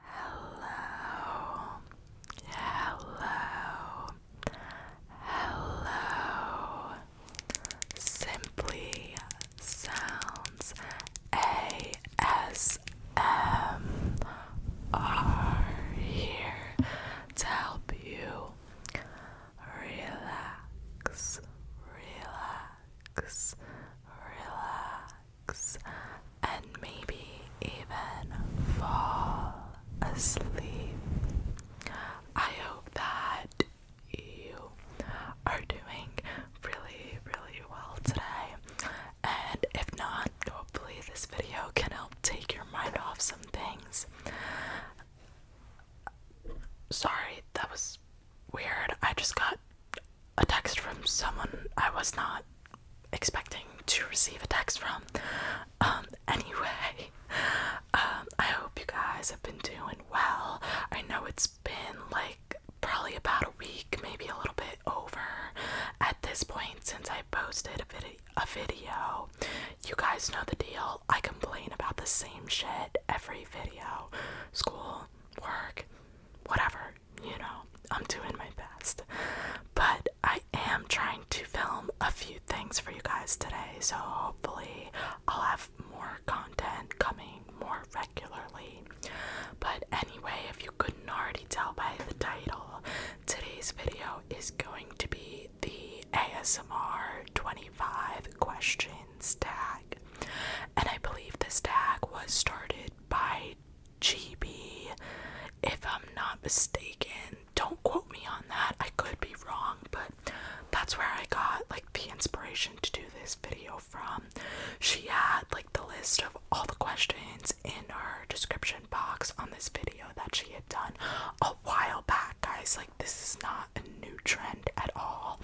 Hello, hello, hello. Simply sounds ASMR here to help you relax, relax, relax and maybe even fall asleep. I hope that you are doing really, really well today. And if not, hopefully, this video can help take your mind off some things. Sorry, that was weird. I just got a text from someone I was not expecting to receive a text from. Um, anyway, um, I hope you guys have been doing well. I know it's been like probably about a week, maybe a little bit over at this point since I posted A video. You guys know the deal. I complain about the same shit every video. School, work, whatever you know, I'm doing my best. But I am trying to film a few things for you guys today, so hopefully I'll have more content coming more regularly. But anyway, if you couldn't already tell by the title, today's video is going to be the ASMR 25 questions tag. And I believe this tag was started by GB, if I'm not mistaken. Don't quote me on that, I could be wrong, but that's where I got like the inspiration to do this video from. She had like the list of all the questions in her description box on this video that she had done a while back, guys. Like, this is not a new trend at all.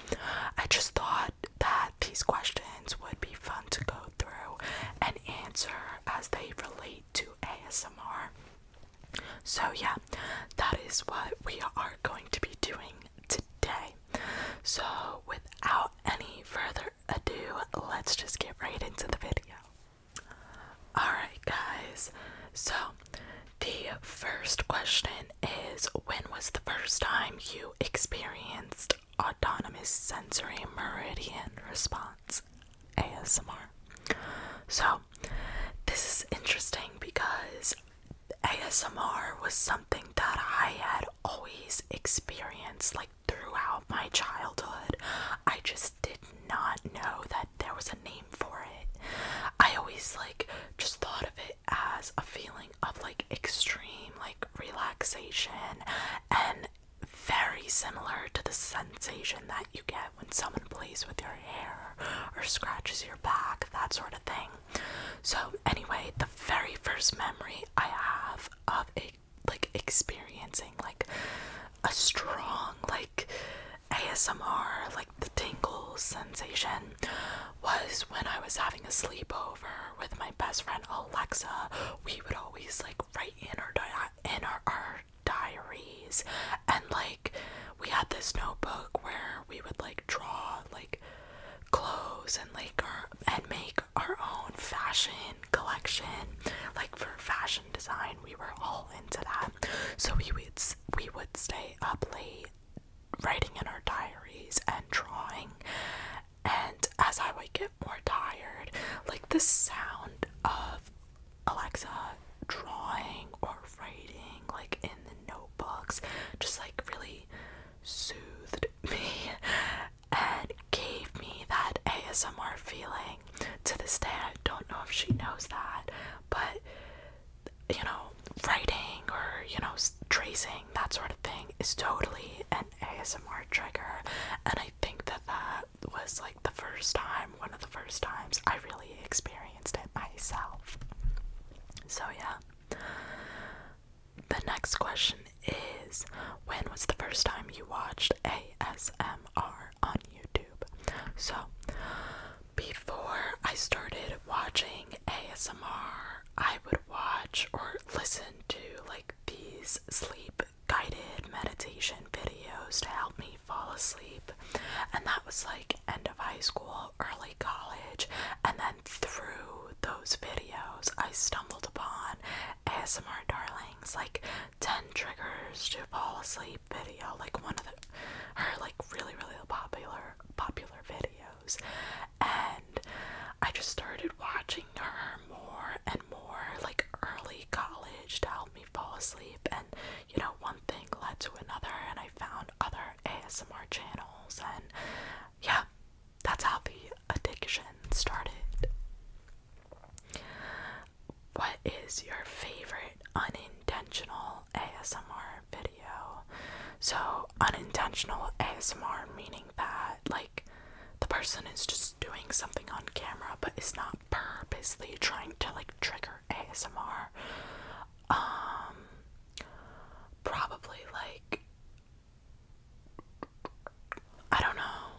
I just thought that these questions would be fun to go through and answer as they relate to ASMR. So, yeah, that is what we are going to be doing today. So, without any further ado, let's just get right into the video. Alright, guys, so the first question is When was the first time you experienced Autonomous Sensory Meridian Response ASMR. So, this is interesting because ASMR was something that I had always experienced like throughout my childhood. I just did not know that there was a name for it. I always like just thought of it as a feeling of like extreme like relaxation and very similar to the sensation that you get when someone plays with your hair or scratches your back, that sort of thing. So, anyway, the very first memory I have of a like experiencing like a strong like ASMR like the tingle sensation was when I was having a sleepover with my best friend Alexa. We would always like write in our in our, diaries and like we had this notebook where we would like draw like clothes and like our and make our own fashion collection like for fashion design we were all into that so we would we would stay up late writing in our diaries and drawing and as I wake up more tired. Like the sound of Alexa drawing or writing, like in the notebooks, just like really soothed me and gave me that ASMR feeling. To this day, I don't know if she knows that, but you know, writing or you know, tracing that sort of thing is totally an ASMR trigger, and I think that that was like the first time, one of the first times I really experienced it myself. So, yeah. The next question is When was the first time you watched ASMR on YouTube? So, before I started watching ASMR, I would watch or listen to like these sleep guided meditation videos to help me fall asleep. And that was like end of high school, early college. And then through those videos, I stumbled upon ASMR Darlings, like 10 triggers to fall asleep video, like one of the, her like really, really popular, popular videos. And I just started watching her more and more, like early college, to help me fall asleep. And you know, one thing led to another, and I found other ASMR channels, and yeah, that's how the addiction started. What is your favorite unintentional ASMR video? So, unintentional ASMR meaning that, like, the person is just doing something on camera but it's not purposely trying to like trigger ASMR. Um probably like I don't know.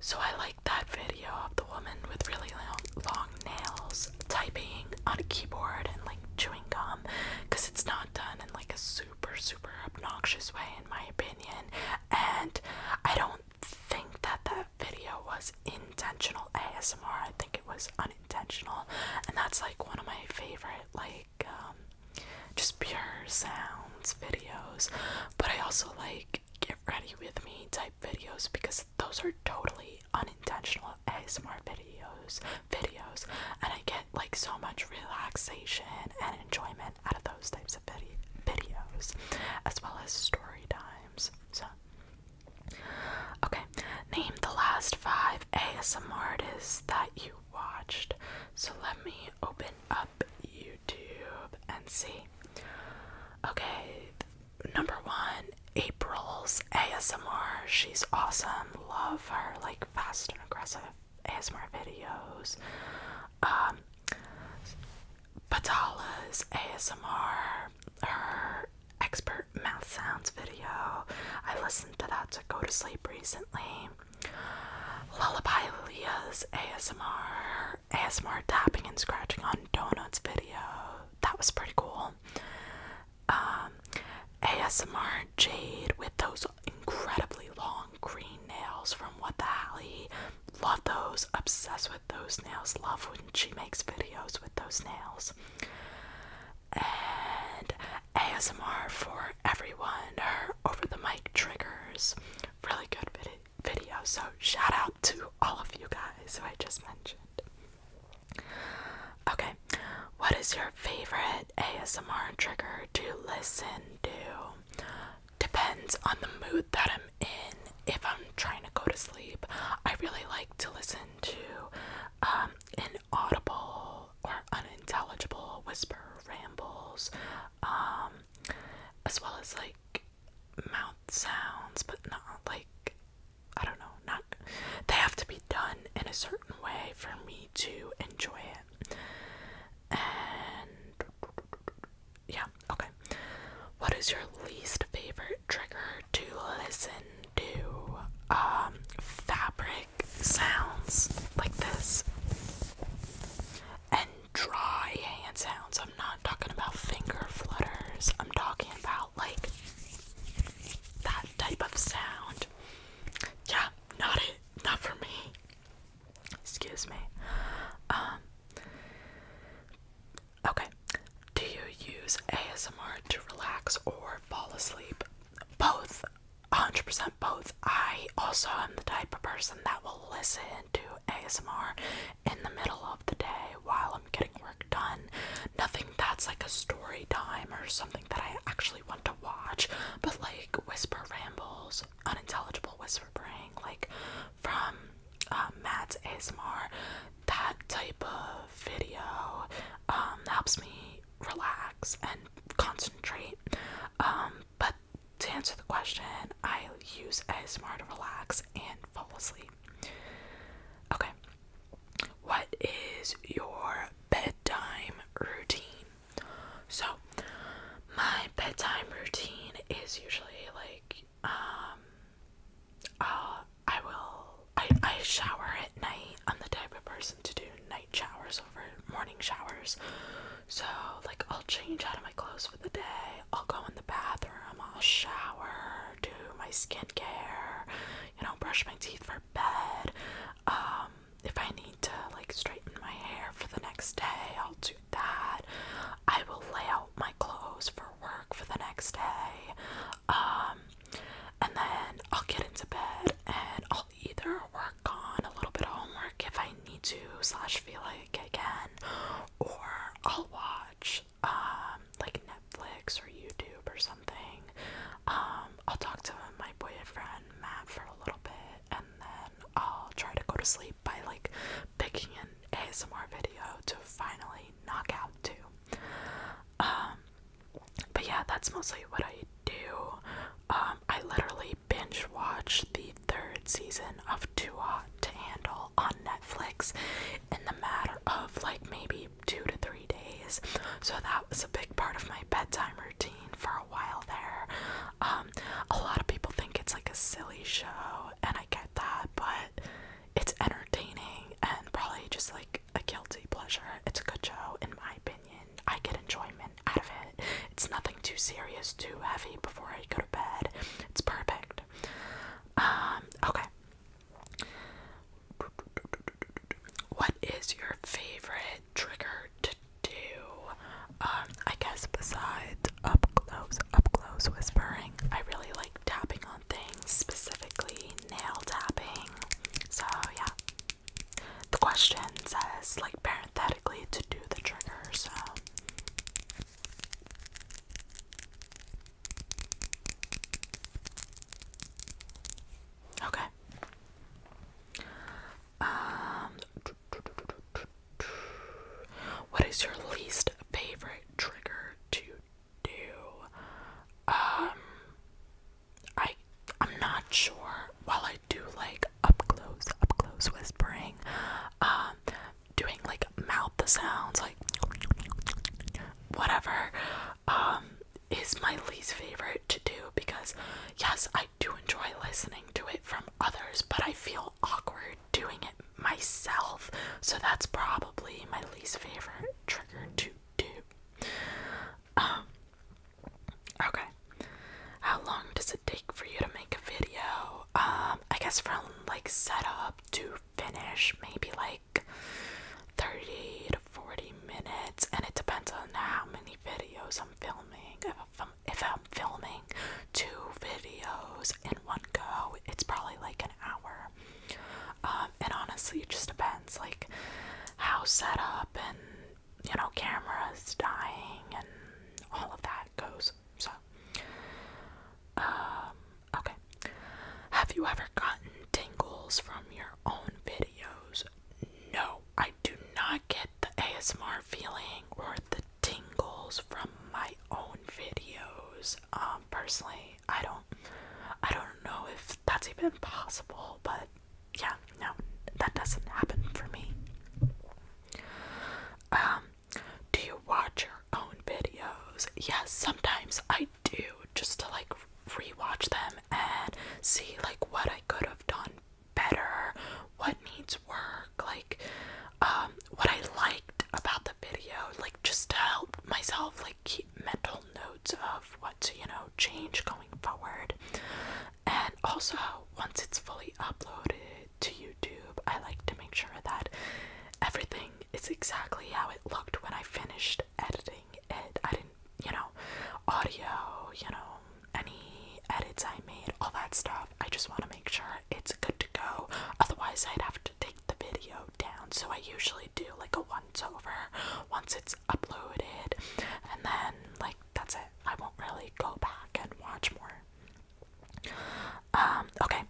So I like that video of the woman with really long, long nails typing on a keyboard and like chewing gum because it's not done in like a super super, super obnoxious way, in my opinion. And I don't think that that video was intentional ASMR. I think it was unintentional, and that's like one of my favorite, like, um, just pure sounds videos. But I also like get ready with me type videos because those are totally unintentional ASMR videos videos and I get like so much relaxation and enjoyment out of those types of videos, as well as story times. So, okay, name the last five ASMR artists that you watched. So let me open up YouTube and see. Okay, number one, April's ASMR. She's awesome. Love her like fast and aggressive ASMR videos. Um, Patala's ASMR, her expert mouth sounds video. I listened to that to go to sleep recently. Lullaby Leah's ASMR, ASMR tapping and scratching on donuts video. That was pretty cool. Um, ASMR Jade with those incredibly long green nails from What the Alley. Love those, obsessed with those nails. Love when she makes videos with those nails. And ASMR for everyone, her over the mic triggers. Really good video. So, shout out to all of you guys who I just mentioned. Okay, what is your favorite ASMR trigger to listen to? depends on the mood that I'm in. If I'm trying to go to sleep, I really like to listen to um, inaudible or unintelligible whisper rambles, um, as well as like mouth sounds, but not like I don't know, not they have to be done in a certain way for me to enjoy it. And yeah, okay. What is your least favorite trigger to listen to? Um, fabric sounds like this. And dry hand sounds. I'm not talking about finger flutters. I'm talking about like that type of sound. Yeah, not it. Not for me. Excuse me. Um, okay. Do you use ASMR to relax or fall asleep? Both. 100% both. I also am the type of person that will listen to ASMR in the middle of the day while I'm getting work done. Nothing that's like a story time or something that I actually want to watch, but like whisper rambles unintelligible whispering, like from uh, Matt's ASMR, that type of video um, helps me relax and concentrate. Um, but to answer the question, I use ASMR to relax and fall asleep. Okay, what is your bedtime routine? So, my bedtime routine is usually like um uh I will I I shower at night. I'm the type of person to do night showers over morning showers. So like I'll change out of my clothes for the day. I'll go in the bathroom, I'll shower, do my skincare, you know, brush my teeth for bed. Um if I need to like straighten my hair for the next day, I'll do that. I will lay out my clothes for work for the next day. Um, and then I'll get into bed and I'll either work on a little bit of homework if I need to, slash feel like I can, or I'll watch um, like Netflix or YouTube or something. Um, I'll talk to my boyfriend Matt for a little bit and then I'll try to go to sleep by like picking an ASMR video to finally knock out too. Um, but yeah, that's mostly what I do. Um, I literally binge watch the third season of Too Hot to Handle on Netflix in the matter of like maybe two to three days. So that was a big part of my bedtime routine for a while there. Um, a lot of people think it's like a silly show and I get that, but it's entertaining and probably just like a guilty pleasure. It's a good show, in my opinion. I get enjoyment out of it. It's nothing too serious, too heavy before I go to bed. It's perfect. Um, okay. What is your favorite trigger to do? Um, I guess besides up close, up close whispering, I really like tapping on things, specifically nail tapping. So yeah. The question says like parenthetically to do the trigger, so Okay. Um what is your least favorite trigger to do? Um, I I'm not sure while I do like up close, up close whispering, um, doing like mouth the sounds, like whatever, um, is my least favorite to do because yes, I do enjoy listening to it from others, but I feel awkward doing it myself, so that's probably my least favorite trigger to do. Um, okay, how long does it take for you to make a video? Um, I guess from like setup to finish, maybe like 30 to 40 minutes, and it depends on how many videos I'm filming. if I'm filming two videos in one go, it's probably like an hour. Um, and honestly, it just depends, like how set up and you know cameras dying and all of that goes. So, um, okay. Have you ever gotten tingles from your own videos? No, I do not get the ASMR feeling or the tingles from my own videos. Um, personally, I don't, I don't know if that's even possible, but yeah, no, that doesn't happen for me. Um, do you watch your own videos? Yes, sometimes I do, just to like rewatch them and see like what I could have done better, what needs work like um, what I liked about the video, like just to help myself like keep mental notes of what you know change going forward. And also, once it's fully uploaded to YouTube, I like to make sure that everything is exactly how it looked when I finished editing it. I didn't, you know, audio, you know, any edits I made, all that stuff. I just want to make sure it's good to go. Otherwise, I'd have to take the video down. So I usually do like a once over once it's uploaded, and then like that's it. I won't really go back and watch more. Um, okay,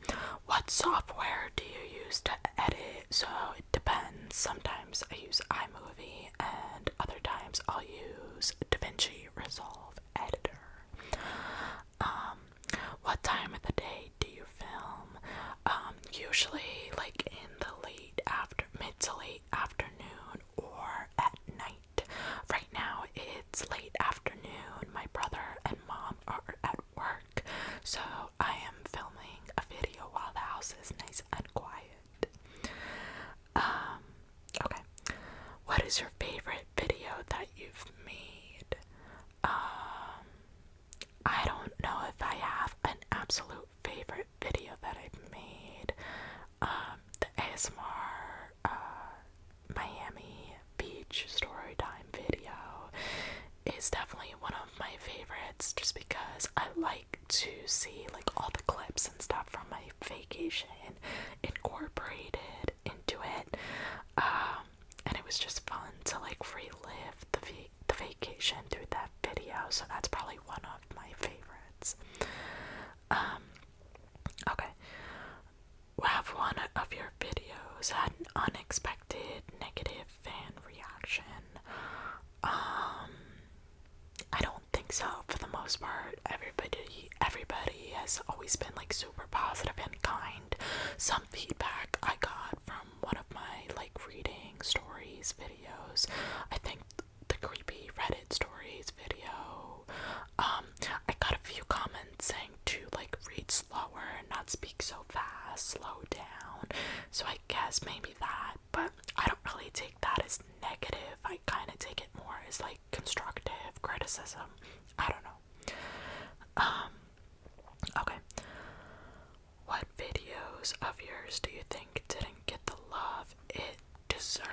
what software do you use to edit? So it depends. Sometimes I use iMovie, and other times I'll use DaVinci Resolve Editor. Um, what time of the day do you film? Um, usually like in the late after mid to late afternoon or at night. Right now it's late afternoon. My brother and mom are at work, so I am filming a video while the house is nice and quiet. Um, okay. What is your favorite video that you've made? Um, I don't know if I have an absolute favorite video that I've made. Um, the ASMR uh, Miami Beach Storytime video is definitely one of my favorites just because I like to see like all the clips and stuff from my vacation incorporated into it. Um, and it was just fun to like relive the the vacation through that video. So that's probably one of my favorites. Um, okay. Have one of your videos had an unexpected negative fan reaction? Um, I don't think so. For the most part, everybody everybody has always been like super positive and kind. Some feedback I got from one of my like reading stories videos. I think the creepy Reddit stories video. Um, I got a few comments saying to like read slower and not speak so fast, slow down. So I guess maybe that, but I don't really take that as negative. I kind of take it more as like constructive criticism. I don't know. Um Okay. What videos of yours do you think didn't get the love it deserved?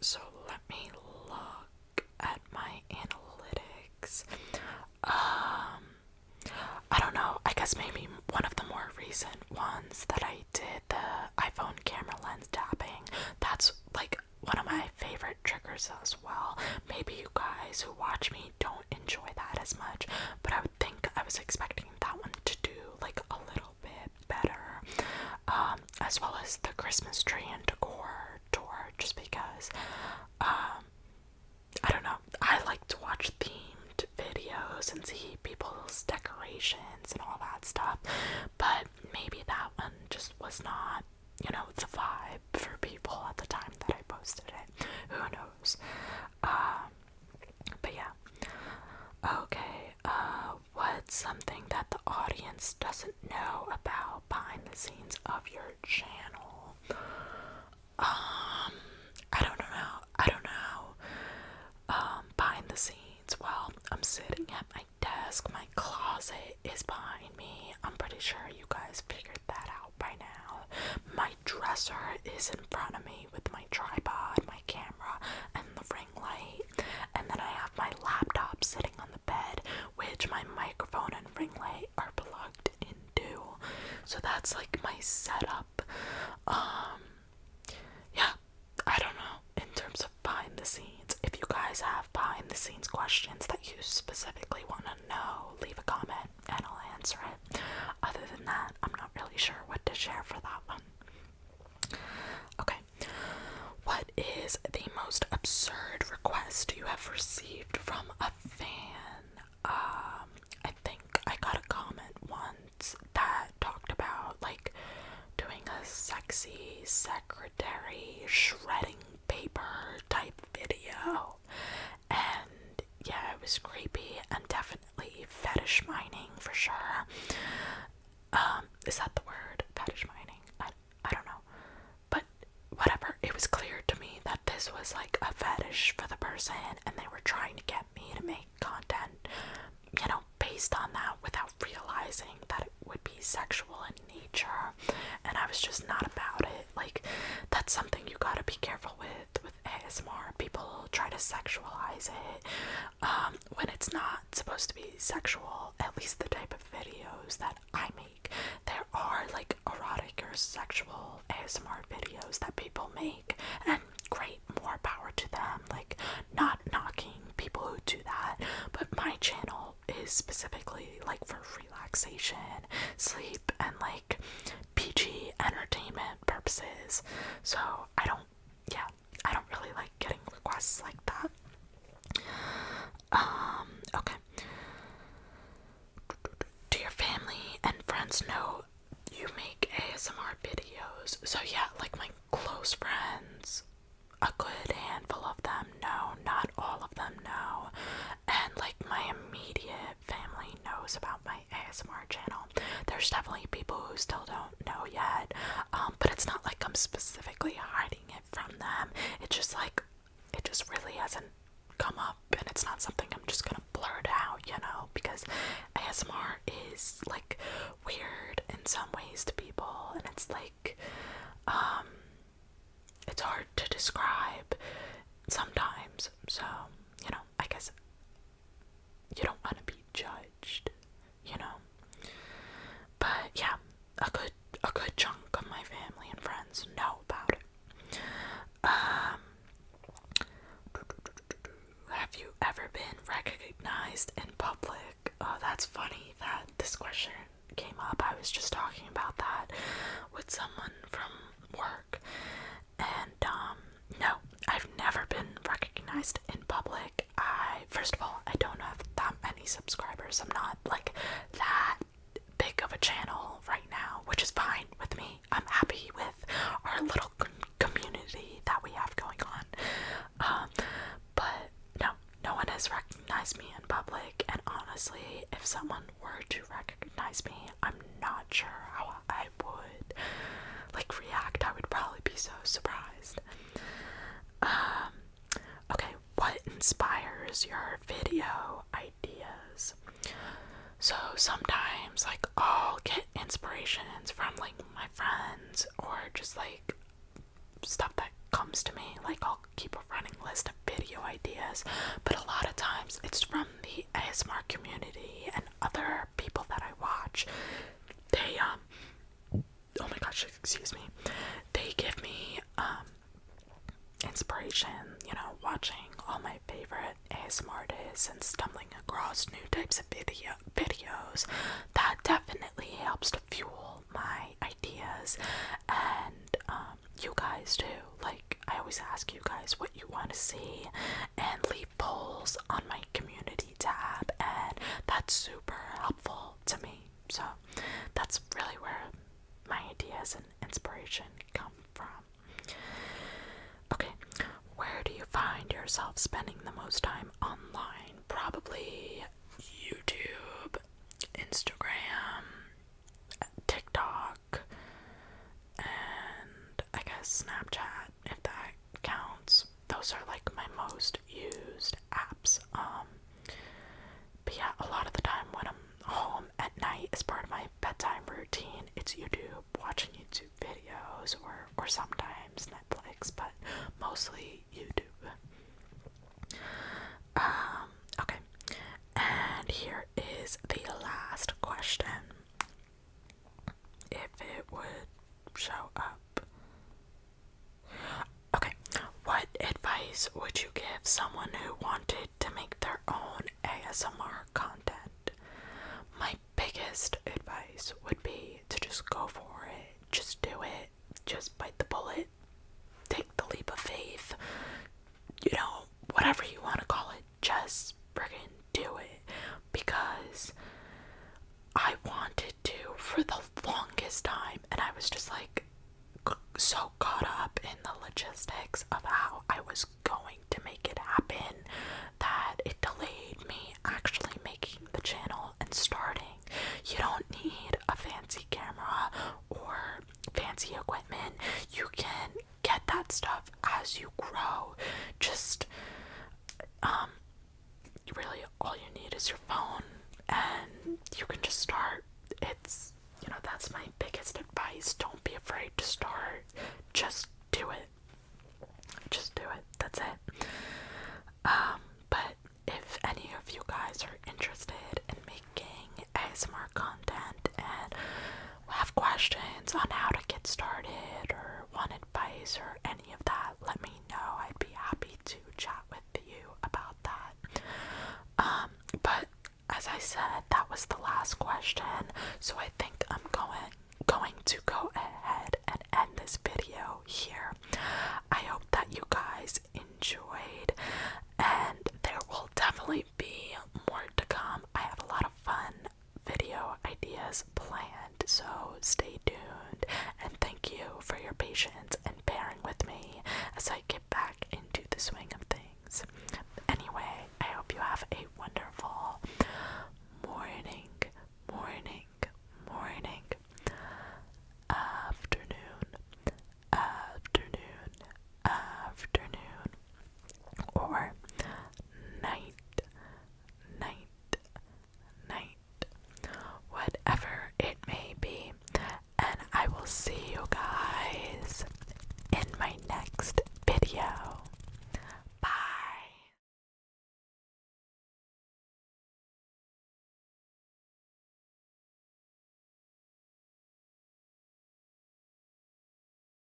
So let me look at my analytics. Um I don't know. I guess maybe one of the more recent ones that I did the iPhone camera lens tapping. That's like one of my favorite triggers. That was well. Maybe you guys who watch me don't enjoy that as much, but I would think I was expecting that one to do like a little bit better, um, as well as the Christmas tree and decor tour, just because um, I don't know, I like to watch themed videos and see people's decorations and all that stuff, but maybe that one just was not you know, the vibe for people at the time that I posted it. Who knows? Um, but yeah. Okay, uh, what's something that the audience doesn't know about behind the scenes of your channel? Um, I don't know. I don't know. Um, behind the scenes. Well, I'm sitting at my desk. My closet is behind me. I'm pretty sure you guys figured that out by now. My dresser is in front of me with my tripod, my camera, and the ring light. And then I have my laptop sitting on the bed, which my microphone and ring light are plugged into. So that's like my setup. Um yeah, I don't know in terms of behind the scenes. If you guys have behind the scenes questions that you specifically want to know, leave a comment and I'll answer it. Other than that, I'm not really sure what to share for that one. Okay. What is the most absurd request you have received from a fan? Um, I think I got a comment once that talked about like doing a sexy secretary shredding paper type video and yeah, it was creepy and definitely fetish mining for sure. Um, is that the word? Fetish mining? I, I don't know. But whatever, it was clear to me that this was like a fetish for the person and they were trying to get me to make content, you know, based on that without realizing that it would be sexual in nature. And I was just not about it. Like that's something you gotta be careful with with ASMR. People try to sexualize it um, when it's not supposed to be sexual. At least the type of videos that I make. There are like erotic or sexual ASMR videos that people make, and great, more power to them. Like not knocking people who do that, but my channel is specifically like for relaxation, sleep, and like PG entertainment purposes. So I don't, yeah, I don't really like getting requests like that. Um, okay. Do your family and friends know you make ASMR videos? So, yeah, like my close friends, a good handful of them know, not all of them know, and like my immediate family knows about my ASMR channel. There's definitely people who still don't know yet, um, but it's not like I'm specifically hiding it from them. It's just like it just really hasn't come up, and it's not something I'm just gonna blurt out, you know, because ASMR is like weird in some ways to people, and it's like, um, it's hard to describe sometimes. So, you know, I guess you don't want to be judged, you know. But yeah, a good a good chunk of my family and friends know about it. Um have you ever been recognized in public? Oh, that's funny that this question came up. I was just talking about that with someone from work. And um, no, I've never been recognized in public. I, first of all, I don't have that many subscribers. I'm not like that big of a channel right now, which is fine with me. I'm happy with our little community that we have going on. Um, but no, no one has recognized me in public. And honestly, if someone were to recognize me, I'm not sure how I would like react. I would probably be so surprised. Um, okay, what inspires your video ideas? So sometimes like I'll get inspirations from like my friends or just like stuff that comes to me. Like I'll keep a running list of video ideas, but a lot of times it's from the ASMR community and other people that I watch, they um oh my gosh, excuse me, they give me um inspiration, you know, watching all my favorite ASMR artists and stumbling across new types of video videos that definitely helps to fuel my ideas and um you guys too. Like I always ask you guys what you want to see and leave polls on my community tab and that's super helpful to me. So that's really where my ideas and inspiration come from. Okay, where do you find yourself spending the most time online? Probably YouTube, Instagram, TikTok, and I guess Snapchat, if that counts. Those are like my most used apps. Um, but yeah, a lot of the time when I'm home at night as part of my bedtime routine, it's YouTube, watching YouTube videos, or or sometimes Netflix, but mostly YouTube. Um, okay, and here is the last question if it would show up. Okay, what advice would you give someone who wanted to make their own ASMR content? My biggest advice would be to just go for it, just do it, just bite the bullet, take the leap of faith, you know, whatever you want to call it just friggin' do it because I wanted to for the longest time, and I was just like so caught up in the logistics of how I was going to make it happen that it delayed me actually making the channel and starting. You don't need a fancy camera or fancy equipment, you can get that stuff as you grow. Just um, really all you need is your phone and you can just start. It's you know, that's my biggest advice. Don't be afraid to start. Just do it. Just do it. That's it. Um, but if any of you guys are interested in making ASMR content and have questions on how to get started or want advice or any of that, let me know. I'd be happy to chat with you about that. Um, but as I said, that was the last question, so I think I'm going going to go ahead and end this video here. I hope that you guys enjoyed and there will definitely be more to come. I have a lot of fun video ideas planned, so stay tuned and thank you for your patience and bearing with me as I get back into the swing of things. Anyway, I hope you have a wonderful morning, morning, morning, afternoon, afternoon, afternoon, or night, night, night, whatever it may be. And I will see you guys in my next video. Bye.